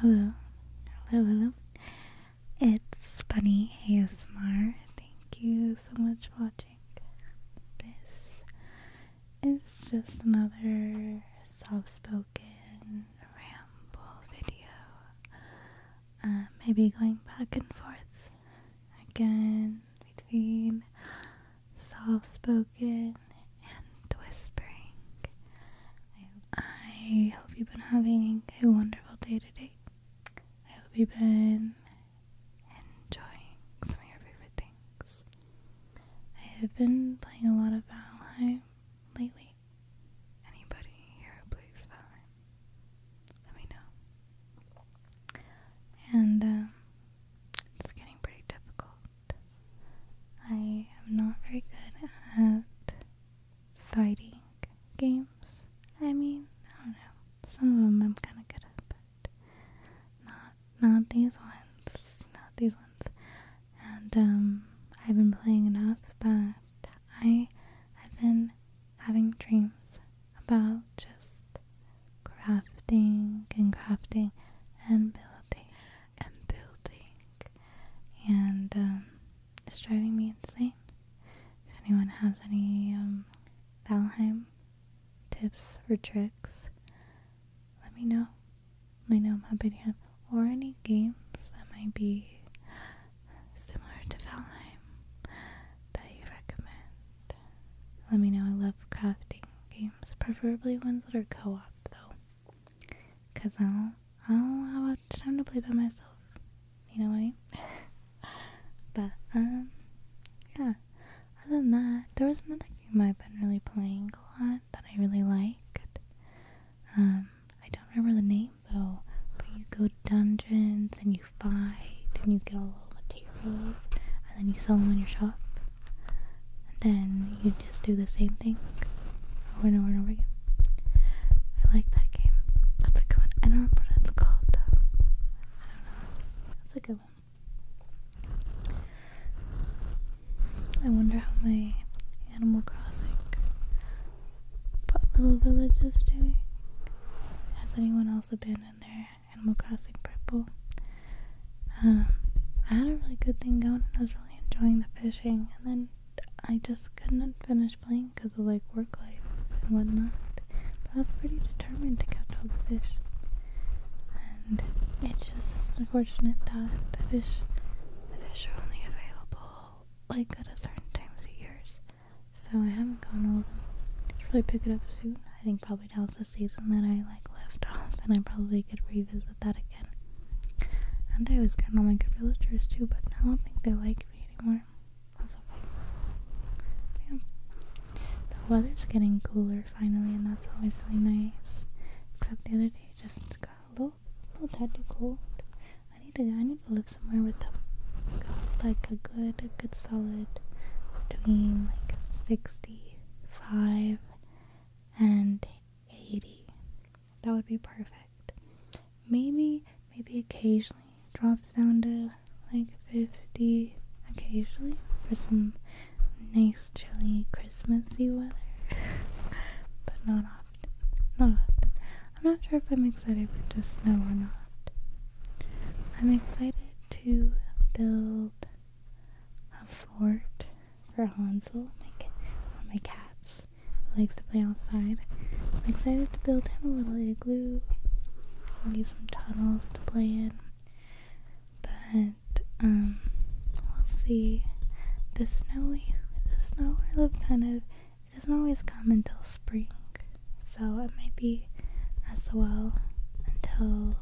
Hello, hello, hello. It's Bunny ASMR. Thank you so much for watching. This is just another soft spoken ramble video. Uh, maybe going back and forth again between soft spoken and whispering. I, hope you've been having a wonderful day today. I hope you've been enjoying some of your favorite things. I have been playing a lot of Valheim lately. Anybody here plays Valheim? Let me know. And um, it's getting pretty difficult. I am not very good at fighting games. I mean, I don't know. Some of them I'm kind of good at, but not not these ones. Not these ones. And um, I've been playing enough that I have been having dreams about just crafting and crafting and building and building, and um, it's driving me insane. If anyone has any um, Valheim tips or tricks, let me know. Let me know. I'm happy to have or any games that might be similar to Valheim that you recommend. Let me know. I love crafting games, preferably ones that are co-op though. Cause I don't, I don't have much time to play by myself. You know what I mean? but um, yeah. Other than that, there was another game I've been really playing a lot that I really liked. Um, I don't remember the name though. But you go to dungeons and you fight and you get all the materials and then you sell them in your shop then you just do the same thing over and over and over again. I like that game. That's a good one. I don't remember what it's called though. I don't know. That's a good one. I wonder how my Animal Crossing little village is doing. Has anyone else abandoned their Animal Crossing purple? Um, I had a really good thing going enjoying the fishing, and then I just couldn't finish playing because of like work life and whatnot. But I was pretty determined to catch all the fish, and it's just it's unfortunate that the fish, the fish are only available like at certain times of years. So I haven't gone all of really pick it up soon. I think probably now is the season that I like left off and I probably could revisit that again. And I was kind of like good villagers too, but I don't think they like me anymore. That's The weather's getting cooler finally and that's always really nice. Except the other day just got a little, little tad too cold. I need to I need to live somewhere with the like a good a good solid between like 65 and 80. That would be perfect. Maybe, maybe occasionally drops down to like 50 occasionally for some nice chilly Christmassy weather. but not often. Not often. I'm not sure if I'm excited for just snow or not. I'm excited to build a fort for Hansel, my, ca cats. likes to play outside. I'm excited to build him a little igloo. i need some tunnels to play in. But, um, we'll see. The snowy, the snow I live kind of, it doesn't always come until spring. So it might be SOL until,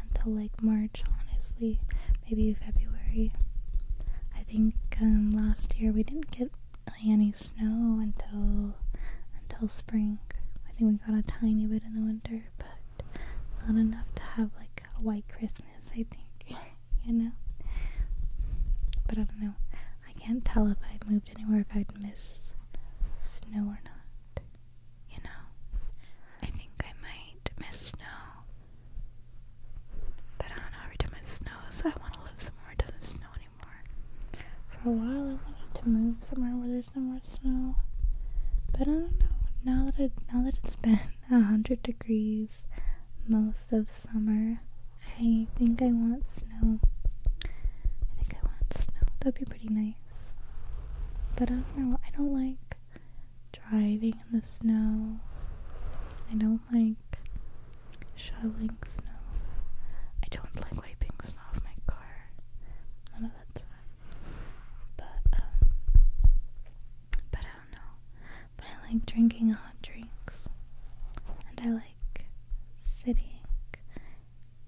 until like March honestly, maybe February. I think um, last year we didn't get any snow until until spring. I think we got a tiny bit in the winter, but not enough to have like a white Christmas. I think, you know. But I don't know. I can't tell if I've moved anywhere if I'd miss snow or not. You know, I think I might miss snow but I don't know, every time it snows, I want to live somewhere it doesn't snow anymore. For a while, I wanted to move somewhere where there's no more snow. But I don't know. Now that it now that it's been a hundred degrees most of summer, I think I want snow. I think I want snow. That'd be pretty nice. But I don't know. I don't like driving in the snow. I don't like shoveling snow. I don't like wiping snow off my car. None of that's fun. But um but I don't know. But I like drinking hot drinks. And I like sitting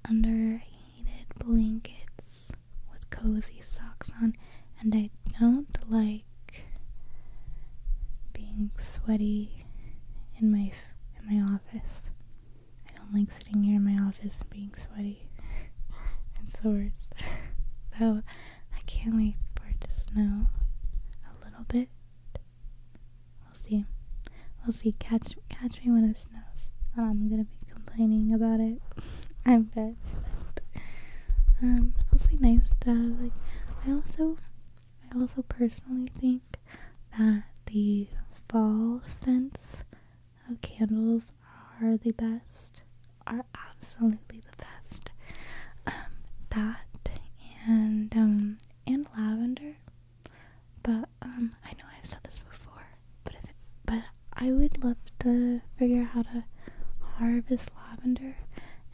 under heated blankets with cozy socks on, and I don't like being sweaty in my in my office. I don't like sitting here in my office being sweaty and sore. so I can't wait for it to snow a little bit. We'll see. We'll see. Catch catch me when it snows. Um, I'm gonna be complaining about it. I bet. Um, those be nice stuff. Like, I also, I also personally think that the fall scents of candles are the best. Are absolutely the best. Um, that and um and lavender. But um, I know I've said this before, but but I would love to figure out how to harvest lavender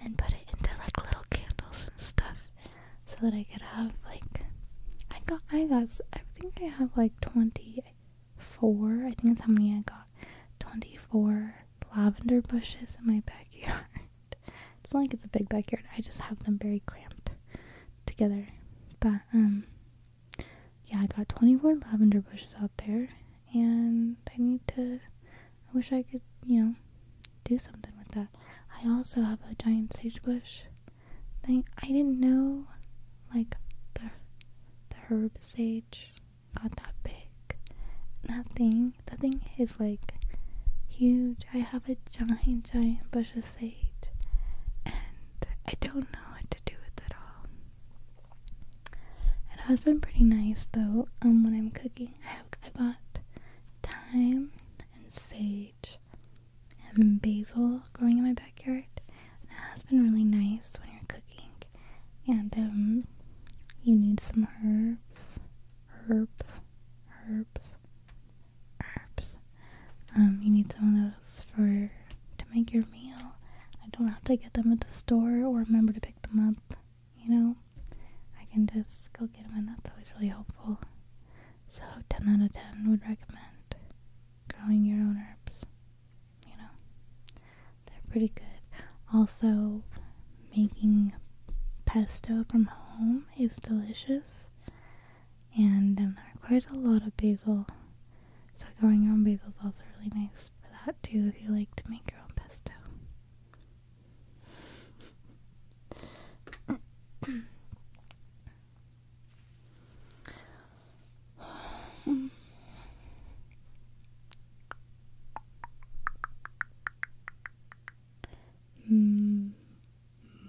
and put it into like little candles and stuff so that I could have like I got I got I think I have like 24 I think that's how many I got 24 lavender bushes in my backyard it's like it's a big backyard I just have them very cramped together but um yeah I got 24 lavender bushes out there and I need to I wish I could, you know, do something with that. I also have a giant sage bush thing. I didn't know like the the herb sage got that big. Nothing, thing thing is like huge. I have a giant, giant bush of sage and I don't know what to do with it all. It has been pretty nice though. Um, when I'm cooking, I have I got thyme and sage and basil growing in my backyard. And it has been really nice when you're cooking, and um, you need some herbs, herbs, herbs, herbs. Um, you need some of those for to make your meal. I don't have to get them at the store or remember to pick them up, you know? I can just go get them, and that's always really helpful. So, 10 out of 10 would recommend growing your own herbs, you know? They're pretty good. Also, making pesto from home is delicious and um, it requires a lot of basil. So, growing your own basil is also really nice for that too if you like to make your own pesto. mm.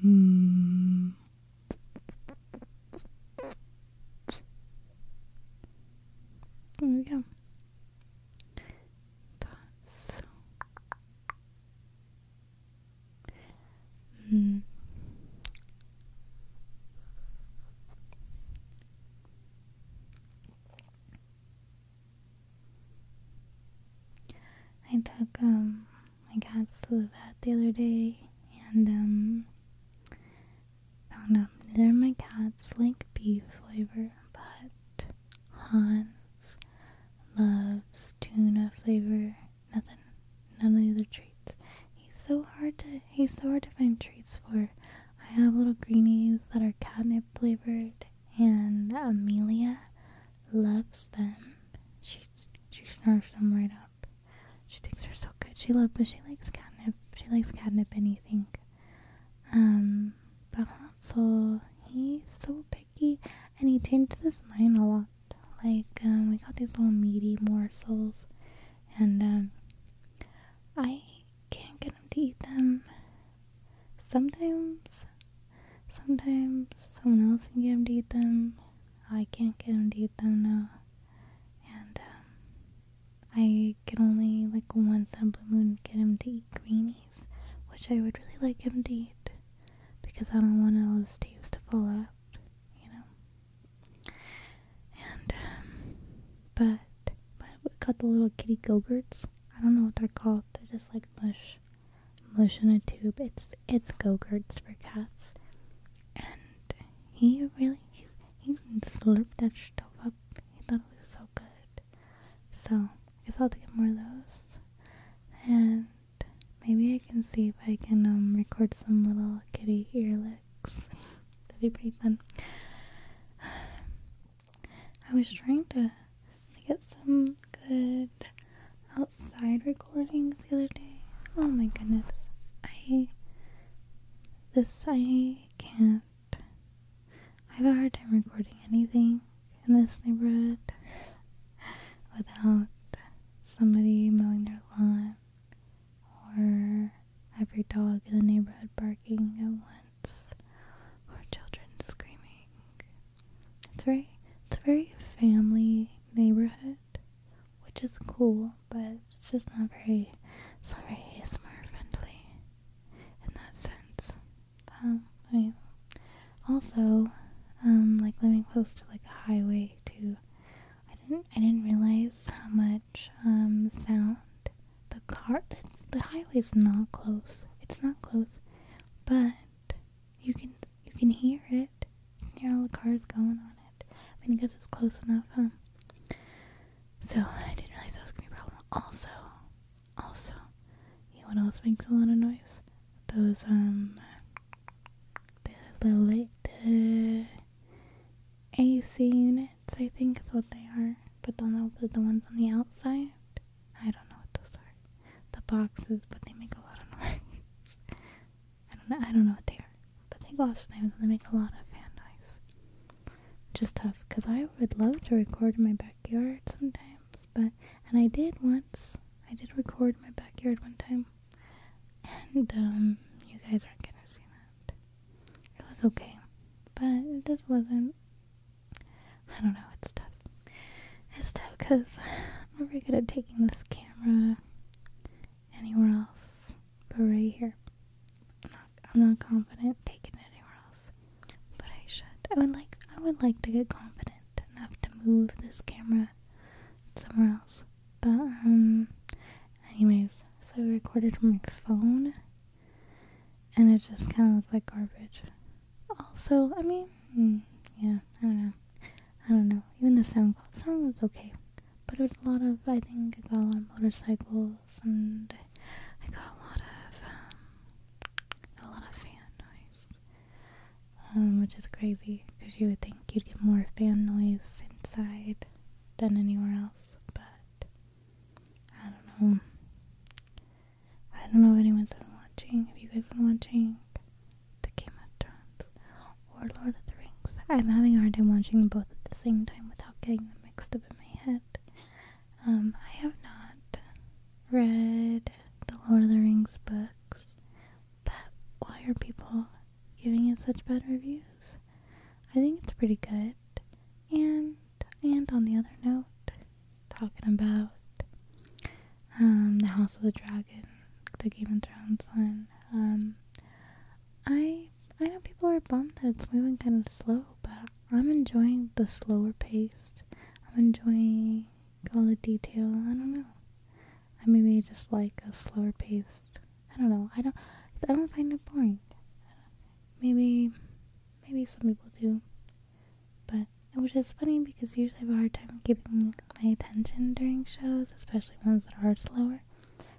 Mm. There we go thoughts. Mm. I took um my cats to the vet the other day and um Oh no, neither my cats like beef flavor, but Hans loves tuna flavor. Nothing, none of the other treats. He's so hard to he's so hard to find treats for. I have little greenies that are catnip flavored, and Amelia loves them. She she snarfs them right up. She thinks they're so good. She loves, but she likes catnip. She likes catnip anything. Um, but Hansel, he's so picky and he changes his mind a lot. Like, um, we got these little meaty morsels and, um, I can't get him to eat them. Sometimes, sometimes someone else can get him to eat them. I can't get him to eat them now. And, um, I can only like once on blue moon get him to eat greenies, which I would really like him to eat because I don't want all his teeth to fall out, you know. And um, but but we got the little kitty gogurts. I don't know what they're called. They're just like mush, mush in a tube. It's it's gogurts for cats. And he really he's he's slurped that stuff up he thought it was so good. So I guess I'll have to get more of those. And maybe I can see if I can um, record some little kitty ear licks. That'd be pretty fun. I was trying to get some good outside recordings the other day. Oh my goodness. I this I can't I have a hard time recording anything in this neighborhood without somebody mowing their lawn or every dog in the neighborhood barking at once or children screaming. It's very it's a very family neighborhood, which is cool, but it's just not very it's not friendly in that sense. Um, I also, um, like living close to like a highway too. I didn't I didn't realize how much um, sound the car the, the highway's not close. It's not close, but you can you can hear it. You can hear all the cars going on it. I mean, because it's close enough, huh? So I didn't realize that was gonna be a problem. Also, also, you know what else makes a lot of noise? Those um, the the the AC units, I think, is what they are. But then I'll put the ones on the outside. I don't know what those are. The boxes, but they make a lot of noise. I don't know. I don't know what they are, but they also they make a lot of fan noise just tough because I would love to record in my backyard sometimes, but and I did once. I did record in my backyard one time, and um, you guys aren't gonna see that. It was okay, but it just wasn't. I don't know. It's tough. It's tough because I'm not very good at taking this camera anywhere else. But right here, I'm not, I'm not confident taking it anywhere else. But I should. I would like. I would like to get confident enough to move this camera somewhere else. But um, anyways, so I recorded from my phone, and it just kind of looked like garbage. Also, I mean, hmm, yeah, I don't know. I don't know. Even the sound, sound was okay, but it was a lot of. I think I got a lot of motorcycles and I got a lot of um, a lot of fan noise, um, which is crazy because you would think you'd get more fan noise inside than anywhere else, but I don't know. I don't know if anyone's been watching. Have you guys been watching the Game of Thrones or Lord of the Rings? I'm having a hard time watching both at the same time without getting them mixed up in my head. Um, I have not read the Lord of the Rings books, but why are people giving it such bad reviews? I think it's pretty good. And and on the other note, talking about um, the House of the Dragon, the Game of Thrones one. Um, I I know people are bummed that it's moving kind of slow, but I'm enjoying the slower pace. I'm enjoying all the detail. I don't know. I maybe just like a slower pace. I don't know. I don't. I don't find it boring. Maybe, maybe some people do, but which is funny because usually I have a hard time keeping my attention during shows, especially ones that are slower.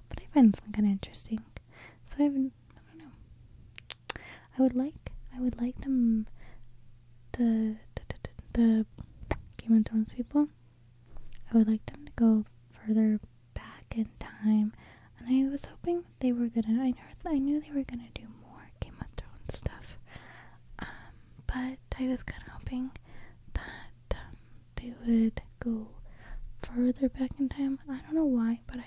But I find this one kind of interesting. So I've I don't know. I would like, I would like them, the, the, the, Game of Thrones people, I would like them to go further back in time, and I was hoping they were gonna, I, heard, I knew they were gonna do more Game of Thrones stuff, um, but I was kinda hoping that um, they would go further back in time, I don't know why, but I,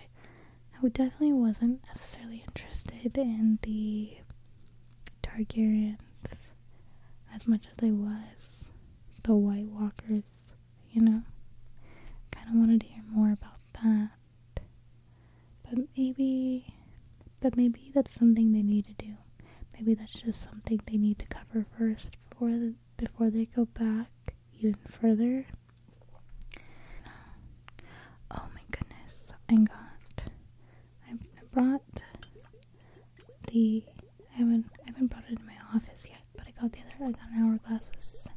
I definitely wasn't necessarily interested in the Targaryens as much as I was the White Walkers, you know? Kind of wanted to hear more about that. But maybe, but maybe that's something they need to do. Maybe that's just something they need to cover first before, before they go back even further Oh my goodness, I got. I brought the. I haven't. I haven't brought it to my office yet, but I got the other. I got an hourglass. With,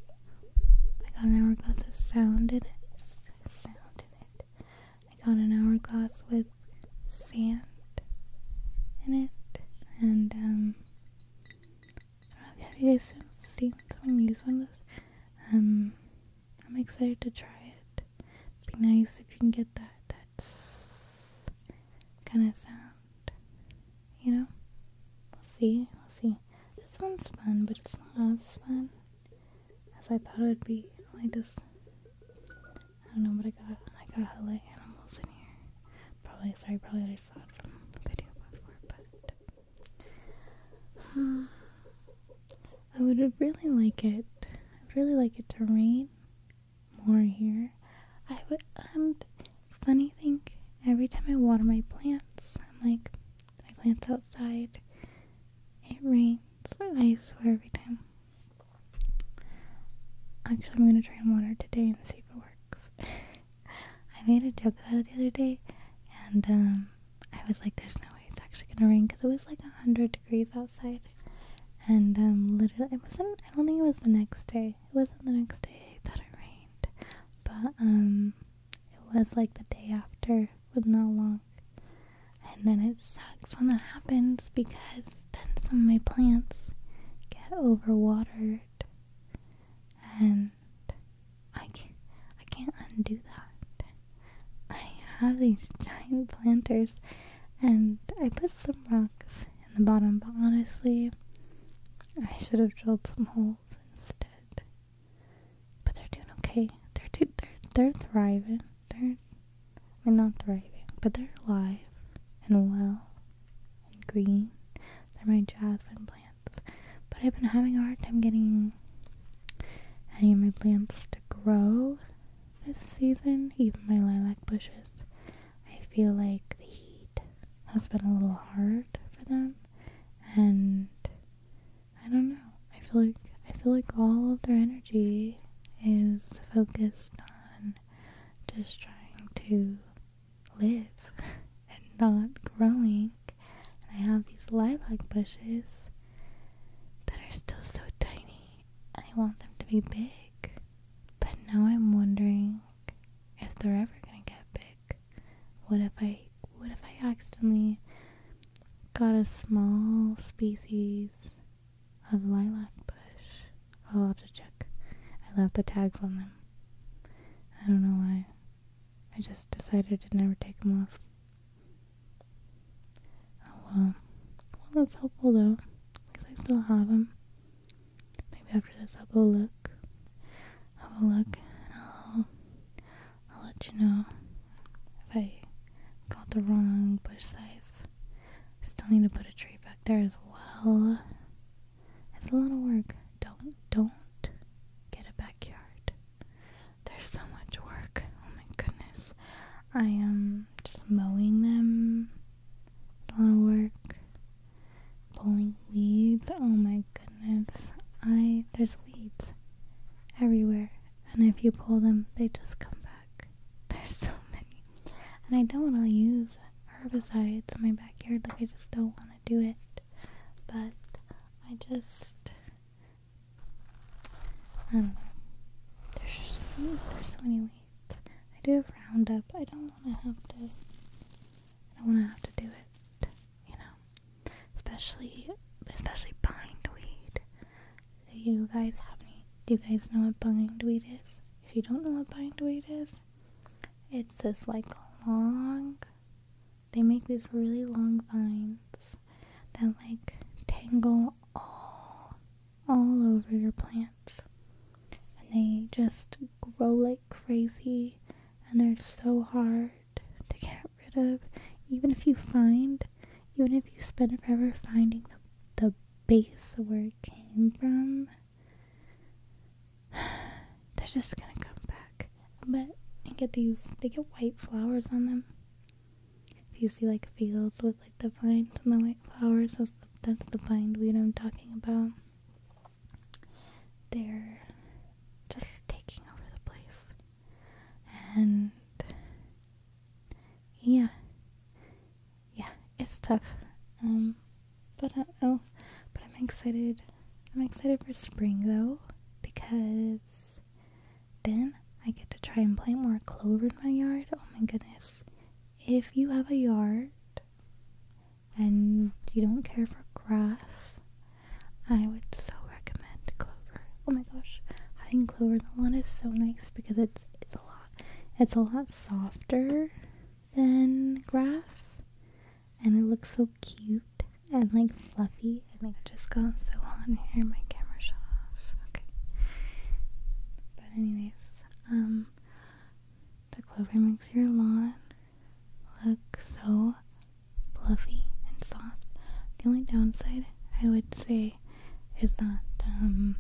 I got an hourglass with sound in it. Sound in it. I got an hourglass with sand in it, and um, I don't know if you guys seen someone use one of those. Um, I'm excited to try it. be nice if you can get that that's kind of sound. You know, we'll see. We'll see. This one's fun, but it's not as fun as I thought it would be. Like this. I don't know, but I got I got a lot of animals in here. Probably sorry, probably I saw it from video before, but. Hmm. I would really like it. I'd really like it to rain more here. I would. Um, funny thing. Every time I water my plants, I'm like, my plants outside. It rains. I swear every time. Actually, I'm gonna try and water today and see if it works. I made a joke out of the other day, and um, I was like, "There's no way it's actually gonna rain," because it was like hundred degrees outside, and um, literally, it wasn't. I don't think it was the next day. It wasn't the next day that it rained, but um, it was like the day after, with no long. And then it sucks when that happens because then some of my plants get overwatered and I can't, I can't undo that. I have these giant planters and I put some rocks in the bottom, but honestly, I should have drilled some holes instead. But they're doing okay. They're they're, they're thriving. They're, I not thriving, but they're alive and well and green. They're my jasmine plants. But I've been having a hard time getting any of my plants to grow this season, even my lilac bushes. I feel like the heat has been a little hard for them and I don't know. I feel like I feel like all of their energy is focused on just trying to live and not growing. And I have these lilac bushes that are still so tiny. I want them to be big. But now I'm wondering if they're ever gonna get big. What if I what if I accidentally got a small species of lilac bush? I'll have to check. I left the tags on them. I don't know why. I just decided to never take them off. Oh well. Well, that's helpful though. At least I still have them. Maybe after this I'll go look. Have a look and I'll, I'll let you know if I got the wrong bush size. still need to put a tree back there as well. It's a lot of work. Don't don't get a backyard. There's so much work. Oh my goodness. I am just mowing them. A lot of work. Pulling weeds. Oh my goodness. I there's weeds everywhere. And if you pull them, they just come back. There's so many. And I don't want to use herbicides in my backyard. Like I just don't want to do it but I just I don't know. There's just there's so many weeds. I do have roundup. I don't wanna have to I don't wanna have to do it, you know. Especially especially bindweed. Do you guys have any do you guys know what bindweed is? If you don't know what bindweed is, it's this like long they make these really long vines that like tangle all all over your plants. And they just grow like crazy and they're so hard to get rid of. Even if you find even if you spend forever finding the the base where it came from, They're just gonna come back. But and get these they get white flowers on them. If you see like fields with like the vines and the white flowers, that's the, that's the bindweed I'm talking about. They're just taking over the place. And yeah. Yeah, it's tough. Um, but uh, oh, but I'm excited. I'm excited for spring though because then I get to try and plant more clover in my yard. Oh my goodness. If you have a yard and you don't care for grass, I would so recommend clover. Oh my gosh, having clover in the lawn is so nice because it's it's a lot it's a lot softer than grass. And it looks so cute and like fluffy. I think i just got so on here, my camera shut off. Okay. But anyways, um the clover makes your lawn look so fluffy and soft. The only downside I would say is that um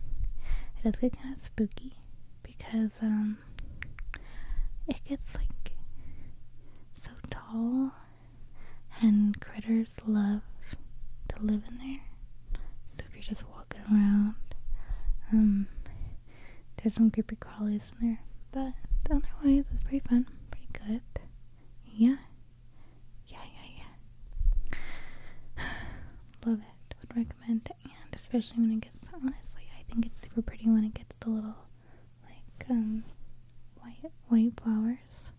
it does get kinda spooky because because um it gets like so tall and critters love to live in there. So if you're just walking around, um there's some creepy crawlies in there. But otherwise it's pretty fun, pretty good. Yeah. Yeah, yeah, yeah. Love it. Would recommend and especially when it gets honestly I think it's super pretty when it gets the little like um white white flowers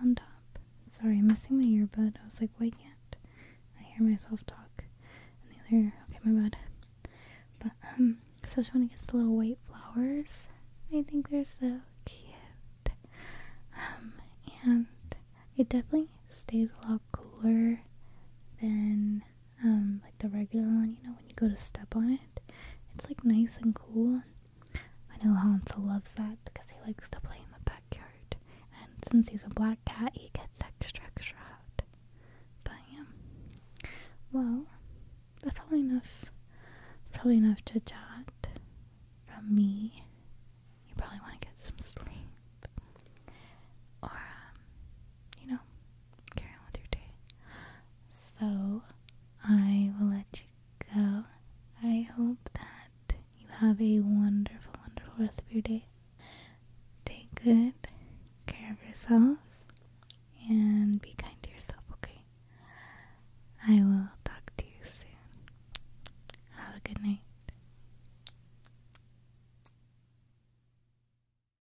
on top. Sorry, I'm missing my earbud. I was like, why can't I hear myself talk? And the other okay, my bad. But um especially when it gets to little white flowers. I think they're so cute. Um and it definitely stays a lot cooler than um, like the regular one, you know, when you go to step on it. It's like nice and cool. I know Hansel loves that because he likes to play in the backyard. And since he's a black cat, he gets extra, extra hot. But yeah. Well, that's probably enough. Probably enough to chat from me. You probably want to get some sleep. Or, um, you know, carry on with your day. So, I will let you go. I hope that you have a wonderful, wonderful rest of your day. Take good care of yourself and be kind to yourself, okay? I will talk to you soon. Have a good night.